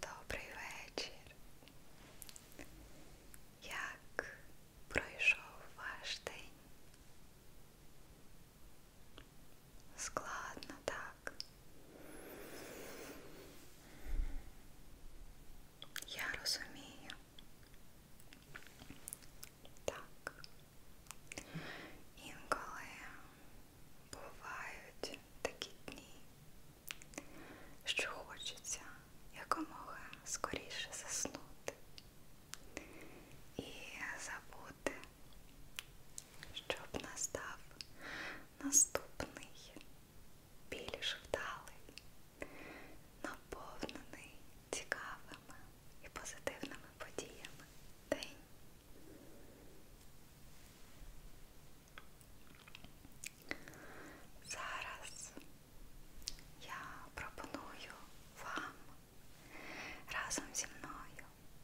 Добрий вечір. Як пройшов ваш день? складно так. Я розумію. Так. Інколи бувають такі дні, що хочеться якомога скоріше заснути і забути щоб настав наступний більш вдалий, наповнений цікавими і позитивними подіями день. Зараз я пропоную вам разом зі мною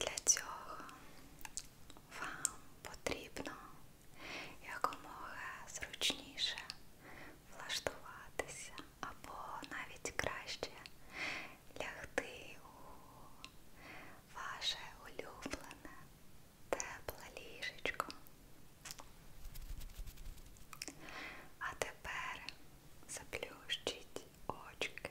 Для цього вам потрібно якомога зручніше влаштуватися або навіть краще лягти у ваше улюблене тепле ліжечко. А тепер заплющіть очки.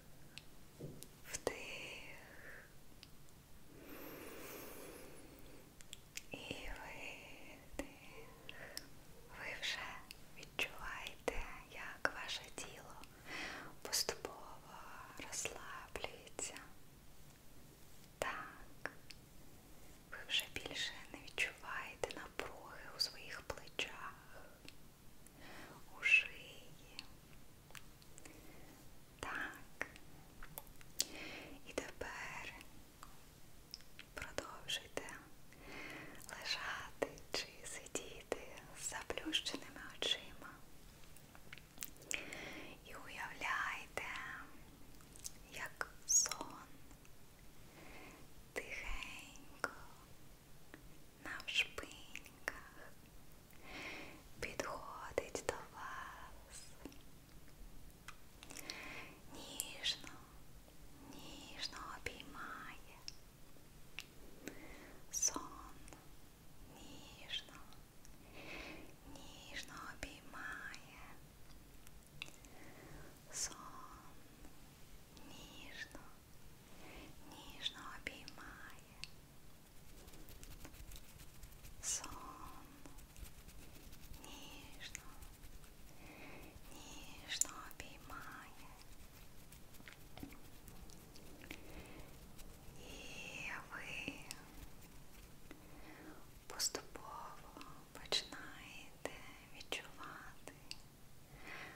вдих і видих. Ви вже відчуваєте, як ваше тіло поступово розслаблюється. Так, ви вже більше не відчуваєте напруги у своїх плечах у шиї. Так. І тепер продовжуйте лежати чи сидіти з заплющеними очима. І уявляйте, як сон тихенько на вшпиньках підходить до вас. Ніжно, ніжно обіймає. Сон ніжно, ніжно обіймає. Сон ніжно, ніжно обіймає сон, ніжно, ніжно обіймає і ви поступово починаєте відчувати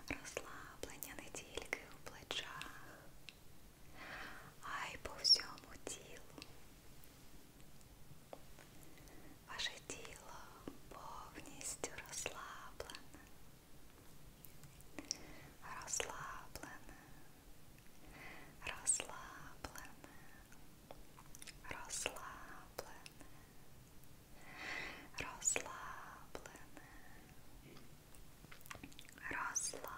розслаблення не тільки у плечах, а й по всьому тілу. Ваше тіло повністю розслаблене, розслаблене, розслаблене, розслаблене розслаблене, розслаблене,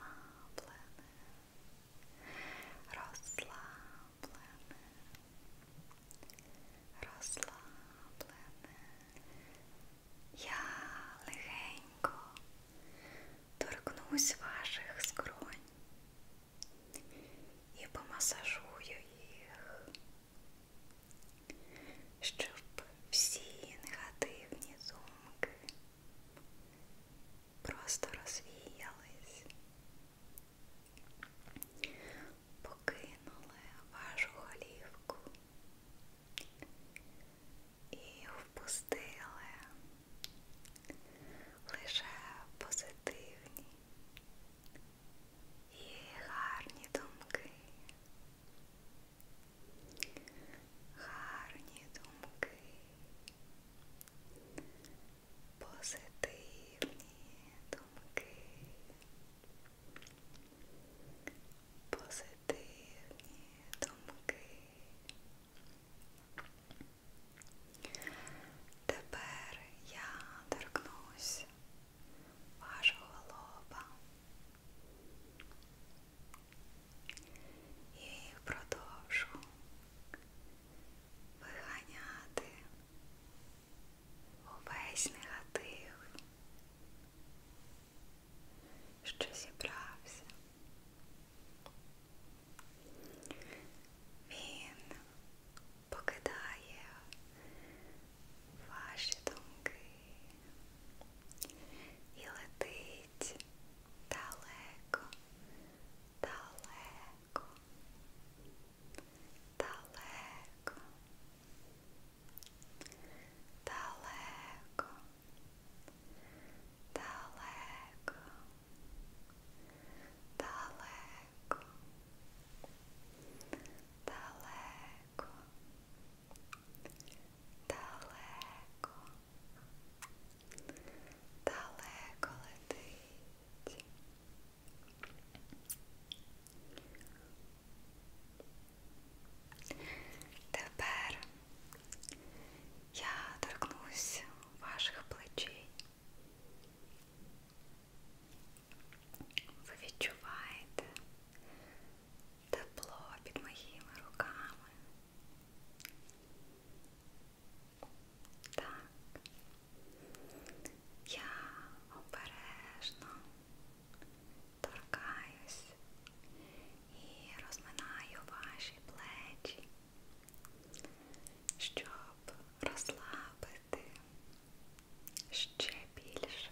розслаблене, розслаблене. Я легенько торкнусь ваших скронь і помасажую їх щоб всі негативні думки просто розвіялись, покинули вашу голівку і впустили лише позитивні. І гарні думки, гарні думки, позитивні думки, позитивні думки. Тепер я торкнусь вашого лоба і продовжу виганяти увесь негатив, що зібрався. Він покидає ваші думки, I letit daleko daleko daleko daleko daleko daleko daleko далеко, далеко летить. Тепер я торкнусь ваших плечей. Ви відчуваєте тепло під моїми руками. Так, я обережно торкаюсь і розминаю ваші плечі, щоб розслабити ще більше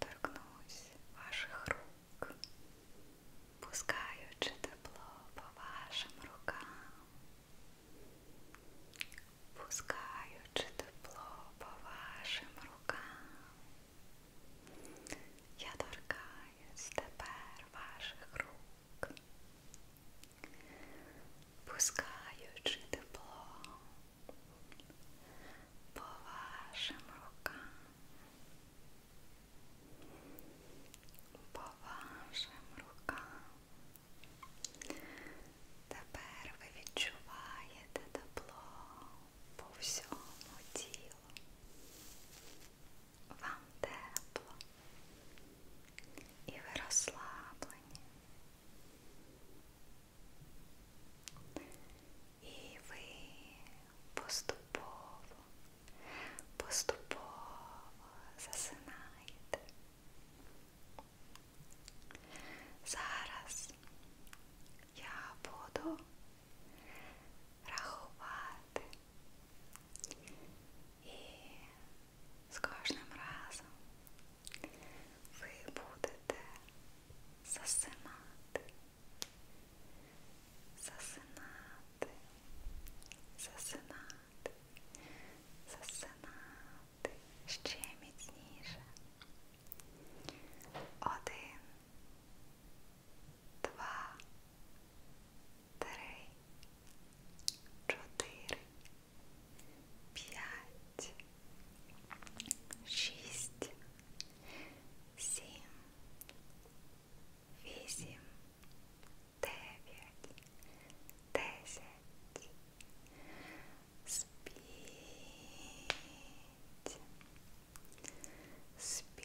торкнусь ваших рук, пускаючи тепло по вашим рукам, пускаючи тепло по вашим рукам. Я торкаюсь тепер ваших рук, пускаючи тепло по вашим рукам, по вашим рукам. Тепер ви відчуваєте тепло по всьому тілу. Вам тепло і ви розслаблені. І ви поступово, поступово засинаєте. Зараз я буду рахувати і з кожним разом ви будете засинати, засинати, засинати, засинати ще міцніше. Один, два, три, чотири, п'ять, шість, сім, вісім, дев'ять, десять. Спіть. Спіть. Спіть.